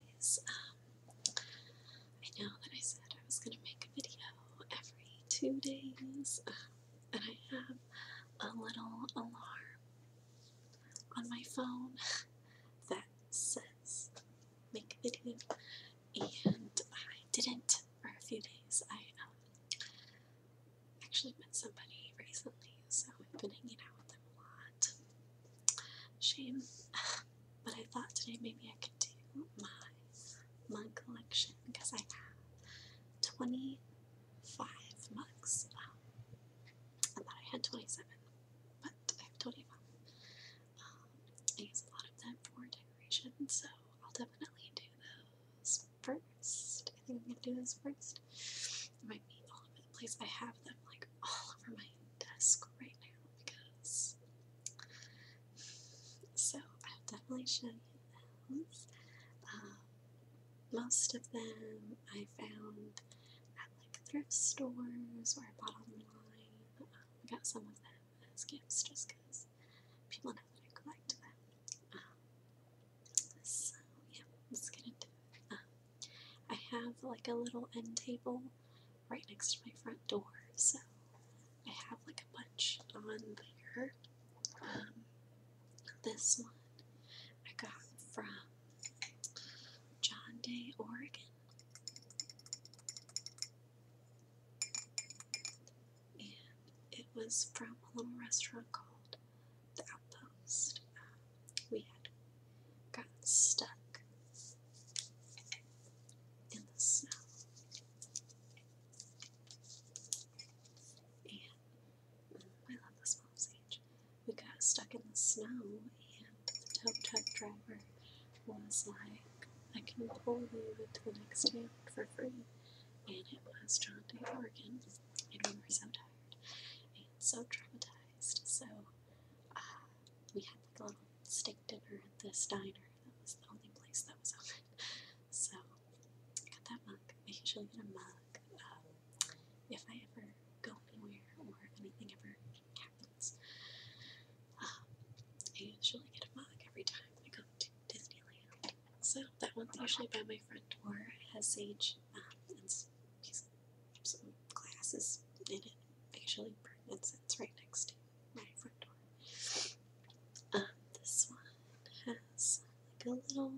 Um, I know that I said I was going to make a video every two days, um, and I have a little alarm on my phone that says make a video, and I didn't for a few days. I um, actually met somebody recently, so I've been hanging out with them a lot. Shame. But I thought today maybe I could do my mug collection because I have 25 mugs. I thought I had 27, but I have 25. Um, I use a lot of them for decoration, so I'll definitely do those first. I think I'm gonna do those first. It might be over the place. I have them like all over my desk right now because. So I've definitely shown you um, those. most of them I found at like thrift stores or I bought online. Um, I got some of them as gifts just because people know that I collect them. Um, so yeah, let's get into it. I have like a little end table right next to my front door, so I have like a bunch on there. Um, this one I got from John Day, Oregon. And it was from a little restaurant called The Outpost. Um, we had gotten stuck in the snow. And I love this small sage. We got stuck in the snow, and the tow truck driver was like, I can pull you to the next town for free. And it was John Day, Oregon. And we were so tired and so traumatized. So we had like a little steak dinner at this diner. That was the only place that was open. So I got that mug. I usually get a mug um, if I ever go anywhere or if anything ever happens. Um, I usually get a mug every time I go to Disneyland. So that one's usually by my front door. has sage and some glasses in it, actually pertinent sits right next to my front door. this one has like a little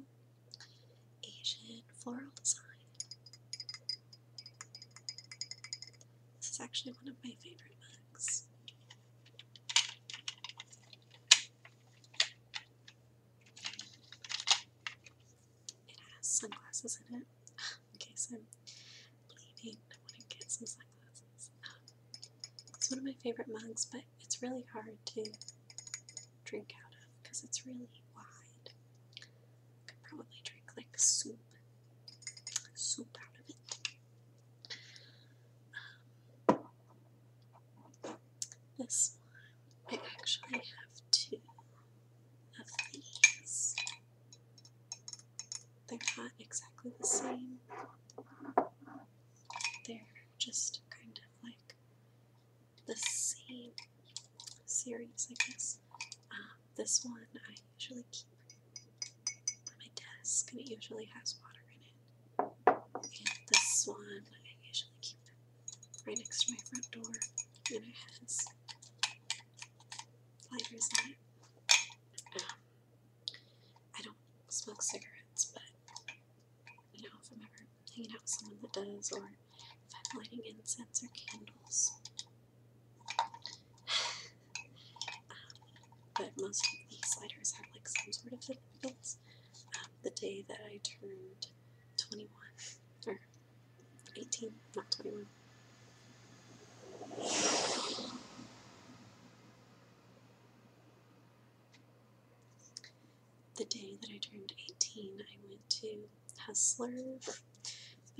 Asian floral design. This is actually one of my favorite mugs. It has sunglasses in it. in case I'm bleeding, I want to get some sunglasses. Um, it's one of my favorite mugs, but it's really hard to drink out of because it's really wide. I could probably drink like soup, soup out of it. Um, this one, I actually have two. They're not exactly the same. They're just kind of like the same series, I guess. Uh, this one I usually keep on my desk, and it usually has water in it. And this one I usually keep in right next to my front door, and it has lighters on it. Um, I don't smoke cigarettes, but you know, if I'm ever hanging out with someone that does, or if I'm lighting incense or candles. um, but most of these lighters have like some sort of significance. Um, the day that I turned 21, or 18, not 21. The day that I turned 18, I went to Hustler for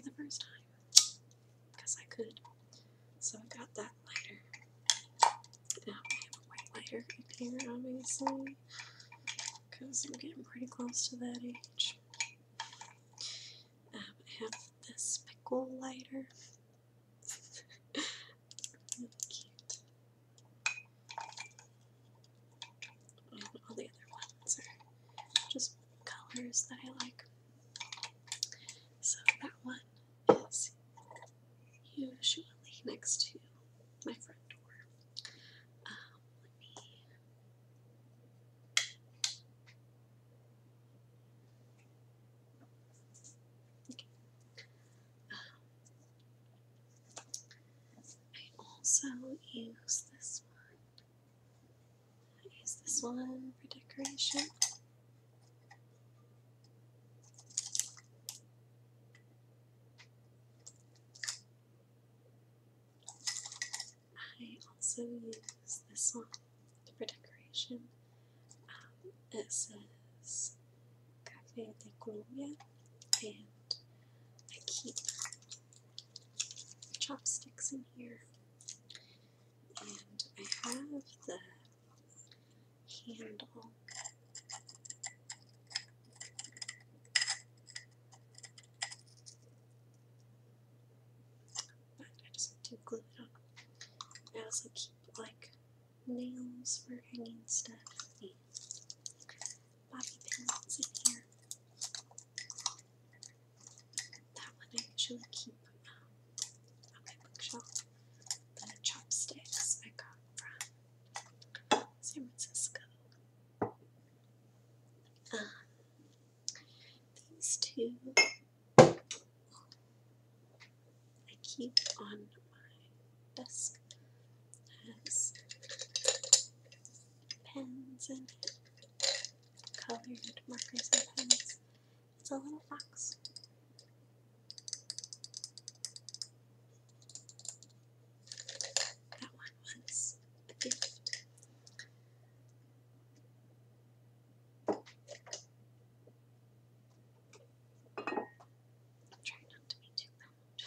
the first time because I could. So I got that lighter. Now I have a white lighter up here, obviously because I'm getting pretty close to that age. Um, I have this pickle lighter. really cute. Um, all the other ones are just colors that I like. So that one is usually next to my front door. Um, um, I also use this one. I use this one for decoration. I also use this one for decoration. Um, it says Cafe de Colombia, and I keep chopsticks in here. And I have the handle I just have glue it on. I also keep like nails for hanging stuff bobby pins in here. That one I usually keep um, my bookshelf. The chopsticks I got from San Francisco um, these two I keep on my desk as pens and colored markers and pens. It's a little fox. That one was a gift. i not to be too loud.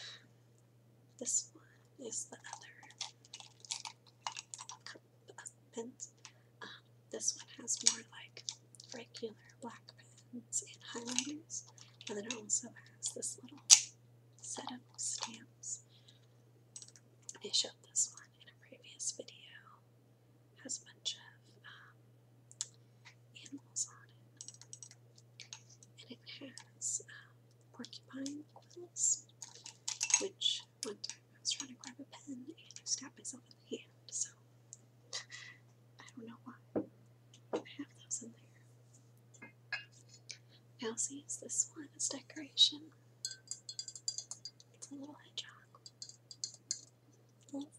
This one is the other cup of pins. Um, this one has more like regular black pens and highlighters, and then it also has this little set up stamps. I showed this one in a previous video. has a bunch of um, animals on it. And it has um, porcupine quills, which one time I was trying to grab a pen and I stabbed myself in the hand, so I don't know why. I have those in there. Mousy is this one as decoration. It's a little hedgehog. A little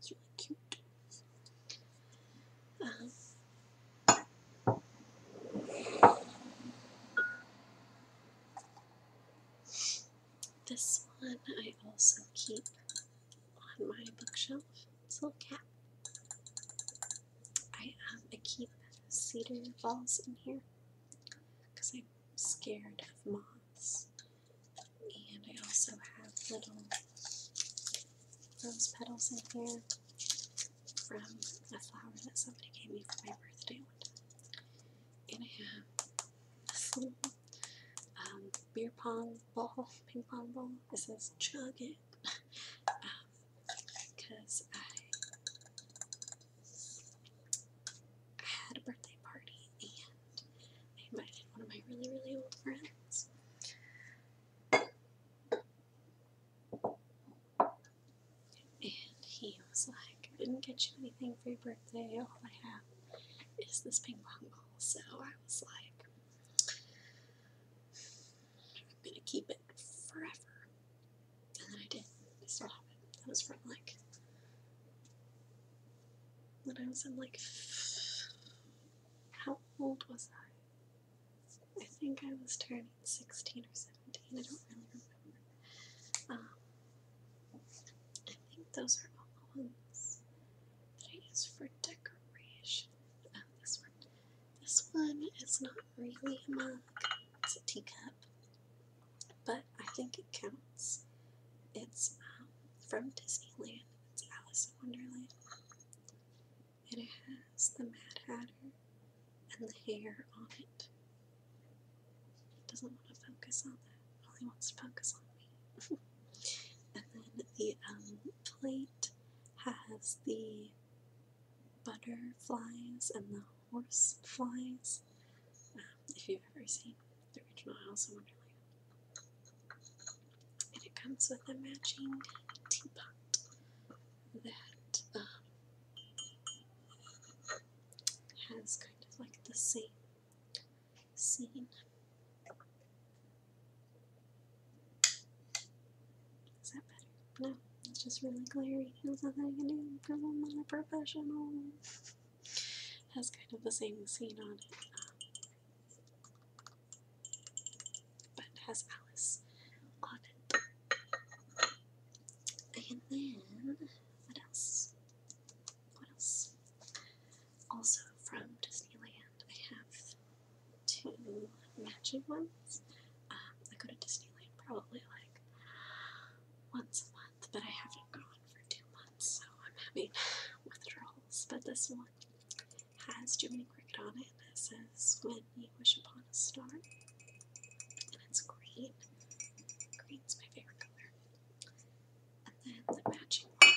it's really cute. Um, this one I also keep on my bookshelf. It's a little cat. Um, I keep cedar balls in here because I'm scared of moths, and I also have little rose petals in here from a flower that somebody gave me for my birthday one time. And I have um, beer pong ball, ping pong ball. It says chug it because um, I had a birthday party and I invited one of my really, really old friends. And he was like, I didn't get you anything for your birthday. All I have is this ping pong ball. So I was like, I'm going to keep it forever. And then I did. I still have it. That was from like, when I was in like, how old was I? I think I was turning 16 or 17. I don't really remember. Um, I think those are all the ones that I use for decoration. Oh, this one. This one is not really a mug, it's a teacup, but I think it counts. It's um, from Disneyland, it's Alice in Wonderland, and it has the Mad Hatter and the hair on it. He doesn't want to focus on that. All he wants to focus on me. and then the um, plate has the butterflies and the horse flies. Um, if you've ever seen the original i in Wonderland. And it comes with a matching teapot that um, has kind of like the same scene. Is that better? No, it's just really glary. There's nothing I can do I'm not a professional. has kind of the same scene on it. Um, but has Alice on it. And then, what else? what else? Also from Disneyland, I have two matching ones. Um, I go to Disneyland probably like once a month, but I haven't gone for two months, so I'm having withdrawals. But this one has Jiminy Cricket on it, and it says, When you wish upon a star. That's green. is my favorite color. And then the matching one,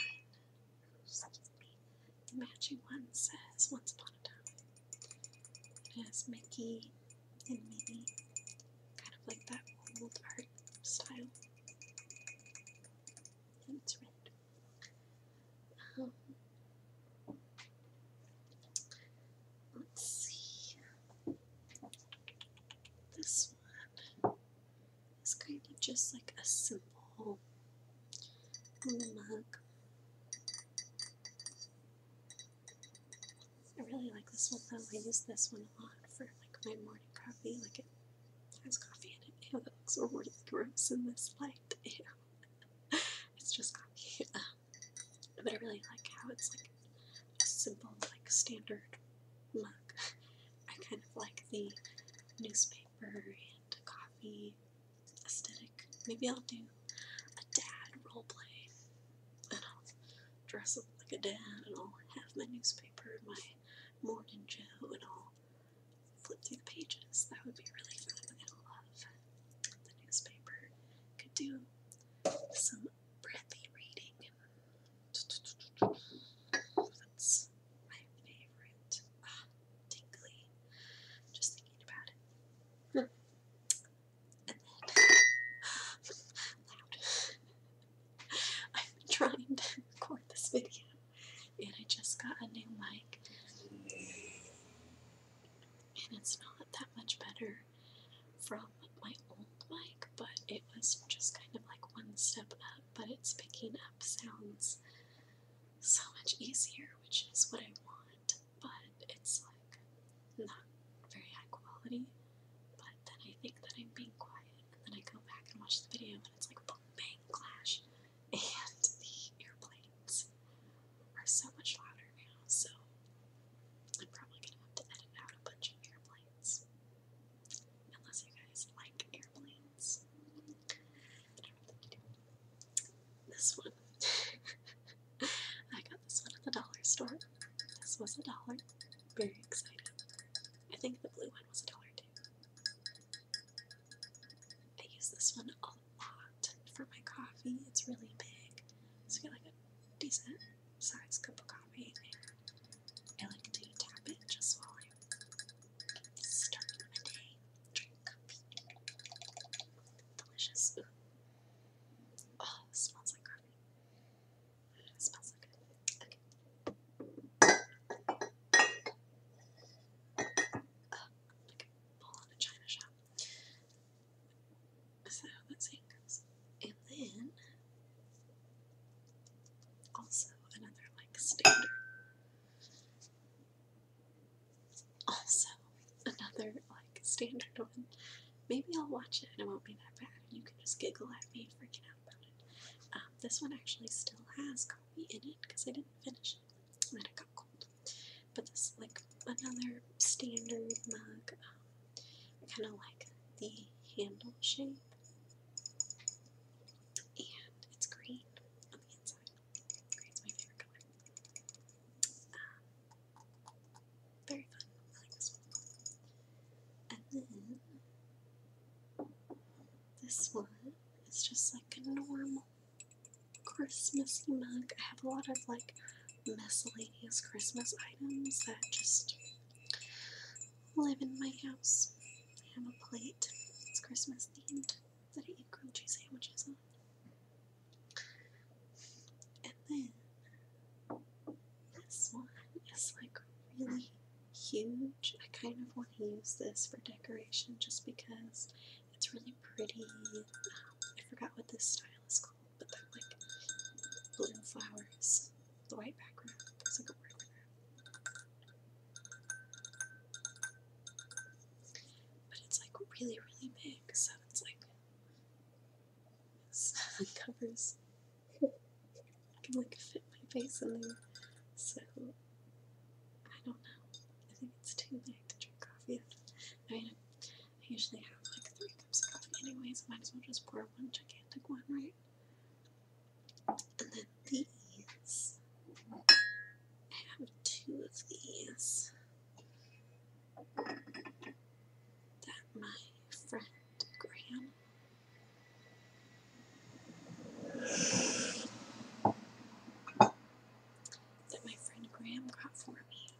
the matching one says Once Upon a Time. It has Mickey and Minnie, kind of like that old art style. And it's red. Um, let's see. This one is kind of just like a simple little mug. I really like this one though. I use this one a lot for like my morning coffee. Like it has coffee in it. Ew, that looks really gross in this light. it's just coffee. Um, but I really like how it's like a simple, like standard look. I kind of like the newspaper and coffee aesthetic. Maybe I'll do a dad role play, and I'll dress up like a dad, and I'll have my newspaper and my morning joe, and I'll flip through the pages. That would be really fun. I love the newspaper. Could do some breathy reading. That's my favorite. Ah, tingly. Just thinking about it. And then, loud. i am trying to record this video, and I just got a new mic, and it's not that much better from my old mic, but it was just kind of like one step up, but it's picking up sounds so much easier, which is what I want, but it's like not very high quality. But then I think that I'm being quiet, and then I go back and watch the video, and it's like boom, bang, clash. And the airplanes are so much louder now, so I'm probably gonna have to edit out a bunch of airplanes. Unless you guys like airplanes. This one. I got this one at the dollar store. This was a dollar. Very exciting. I think the blue one was a dollar too. I use this one a lot for my coffee. It's really big. So I get like a decent size cup of coffee, I like to tap it just while I'm starting my day. Drink coffee. Delicious. Oh, this smells like coffee. It smells good. Okay. Oh, is that how that us goes? And then also another like standard. Also another like standard one. Maybe I'll watch it and it won't be that bad. And You can just giggle at me freaking out about it. Um, this one actually still has coffee in it because I didn't finish it and then it got cold but this is like another standard mug. I um, kind of like the handle shape, and it's green on the inside. Green's my favorite color. Um, very fun. I like this one. And then this one is just like a normal Christmassy mug. I have a lot of like miscellaneous Christmas items that just live in my house. I have a plate. that's Christmas themed that I eat grilled cheese sandwiches on. And then this one is like really huge. I kind of want to use this for decoration just because it's really pretty. I forgot what this style is called but like blue flowers. The white background But it's like really, really big, so it's like covers I can like fit my face in there. So I don't know. I think it's too big to drink coffee. I mean, I usually have like three cups of coffee anyways, might as well just pour one gigantic one, right? And then these. I have two of these that my friend Graham that my friend Graham got for me.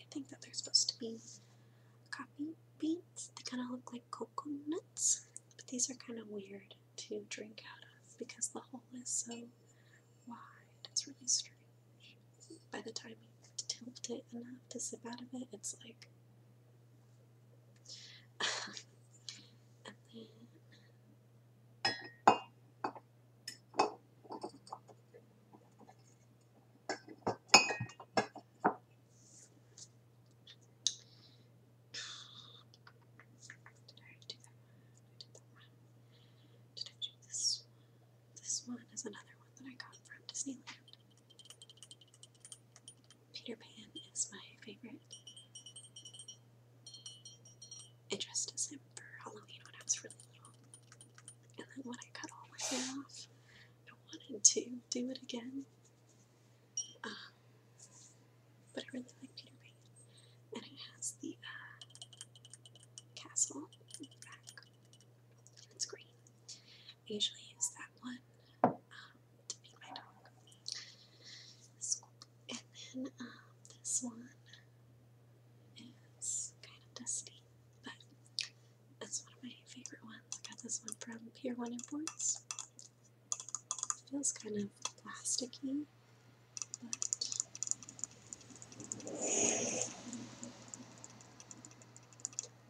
I think that they're supposed to be coffee beans. They kind of look like cocoa nuts, but these are kind of weird to drink out of because the hole is so wide. It's really strange. By the time you tilt it enough to sip out of it, it's like. and then did I do this one? This one is another one that I got from Disneyland. Peter Pan is my favorite. I dressed as him for Halloween when I was really little. And then when I cut all my hair off, I wanted to do it again. Um, but I really like Peter Pan. And it has the uh, castle it's green. I usually use that one um, to feed my dog. And then uh, this one is kind of dusty, but it's one of my favorite ones. I got this one from Pier 1 Imports. It feels kind of plasticky, but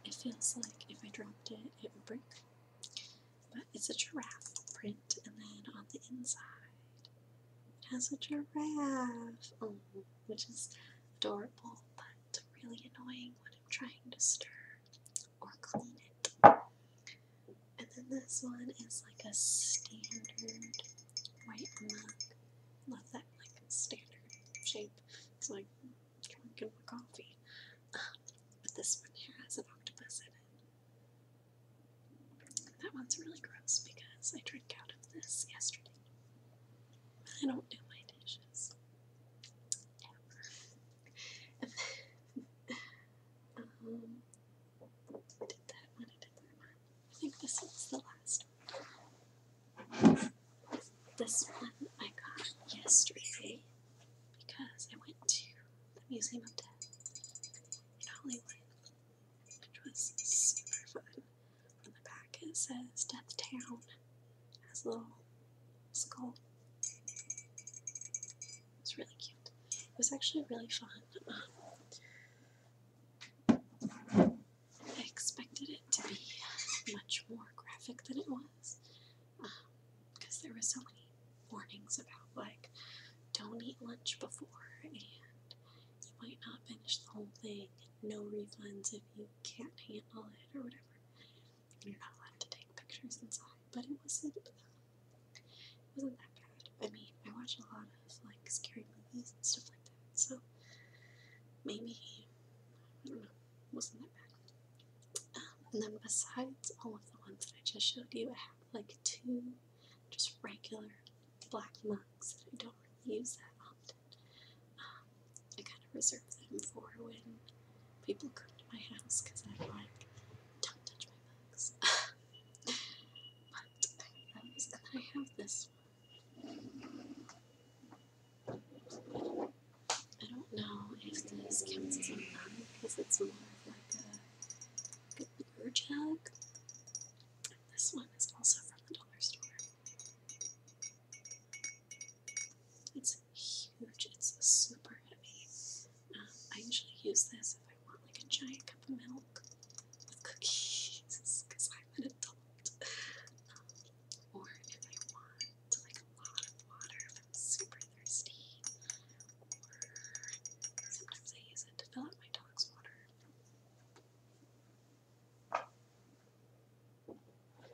it feels like if I dropped it, it would break. But it's a giraffe print, and then on the inside it has a giraffe, oh, which is adorable, but really annoying when I'm trying to stir or clean it. And then this one is like a standard white mug. Love that like standard shape. It's like drinking my coffee. Um, but this one here has an octopus in it. That one's really gross because I drank out of this yesterday. I don't do my dishes. um, did that one, I think this one's the last This one I got yesterday because I went to the Museum of Death alleyway, which was super fun. On the back it says Death Town. has a little skull. It's really cute. It was actually really fun. I expected it to be much more graphic than it was because there was so many warnings about like don't eat lunch before and you might not finish the whole thing, no refunds if you can't handle it or whatever. You're not allowed to take pictures inside, but it wasn't uh, wasn't that bad. I mean, I watch a lot of like scary movies and stuff like that, so maybe I don't know, wasn't that bad. Um, and then besides all of the ones that I just showed you, I have like two just regular black mugs that I don't use that often. Um, I kind of reserve them for when people come to my house because I'm like, don't touch my mugs. but I have this one. I don't know if this counts as a mug because it's more like a plastic jug. This one is also from the dollar store. It's huge, it's super heavy. Um, I usually use this if I want like a giant cup of milk with cookies because I'm an adult. Um, or if I want like a lot of water if I'm super thirsty, sometimes I use it to fill up my dog's water. Um, I think that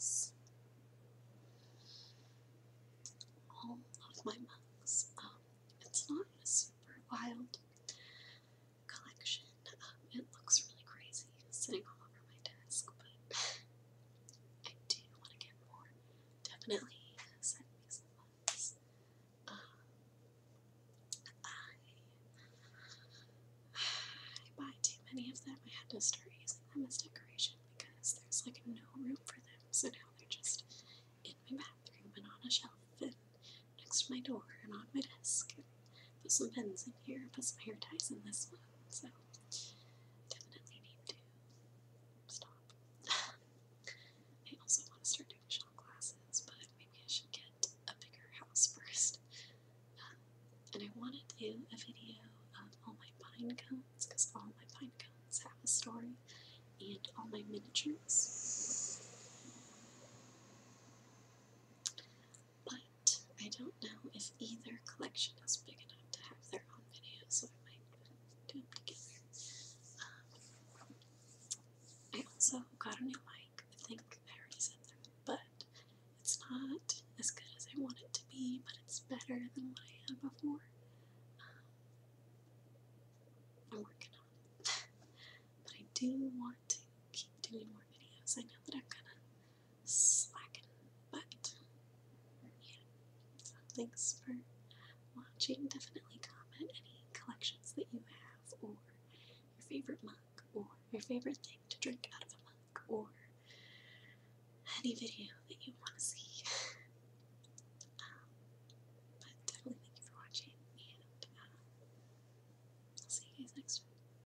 is all of my mugs. Um, it's not a super wild collection. Um, it looks really crazy sitting all over my desk, but I do want to get more. Definitely send me some ones. Um, I, I buy too many of them. I had to start using them as decoration because there's like no room for them. So now they're just in my bathroom and on a shelf and next to my door and on my desk. And Put some pins in here, put some hair ties in this one, so definitely need to stop. I also want to start doing shot glasses, but maybe I should get a bigger house first. Um, and I want to do a video of all my pine cones, because all my pine cones have a story, and all my miniatures but I don't know if either collection is big enough to have their own video, so I might do them together. Um, I also got a new mic, I think I already said that, but it's not as good as I want it to be, but it's better than what I had before. Um, I'm working on it. but I do want to keep doing more videos. I know that i am gonna slacking. But yeah, thanks for watching. Definitely comment any collections that you have, or your favorite mug, or your favorite thing to drink out of a mug, or any video that you want to see. Um, but definitely thank you for watching, and uh, will see you guys next week.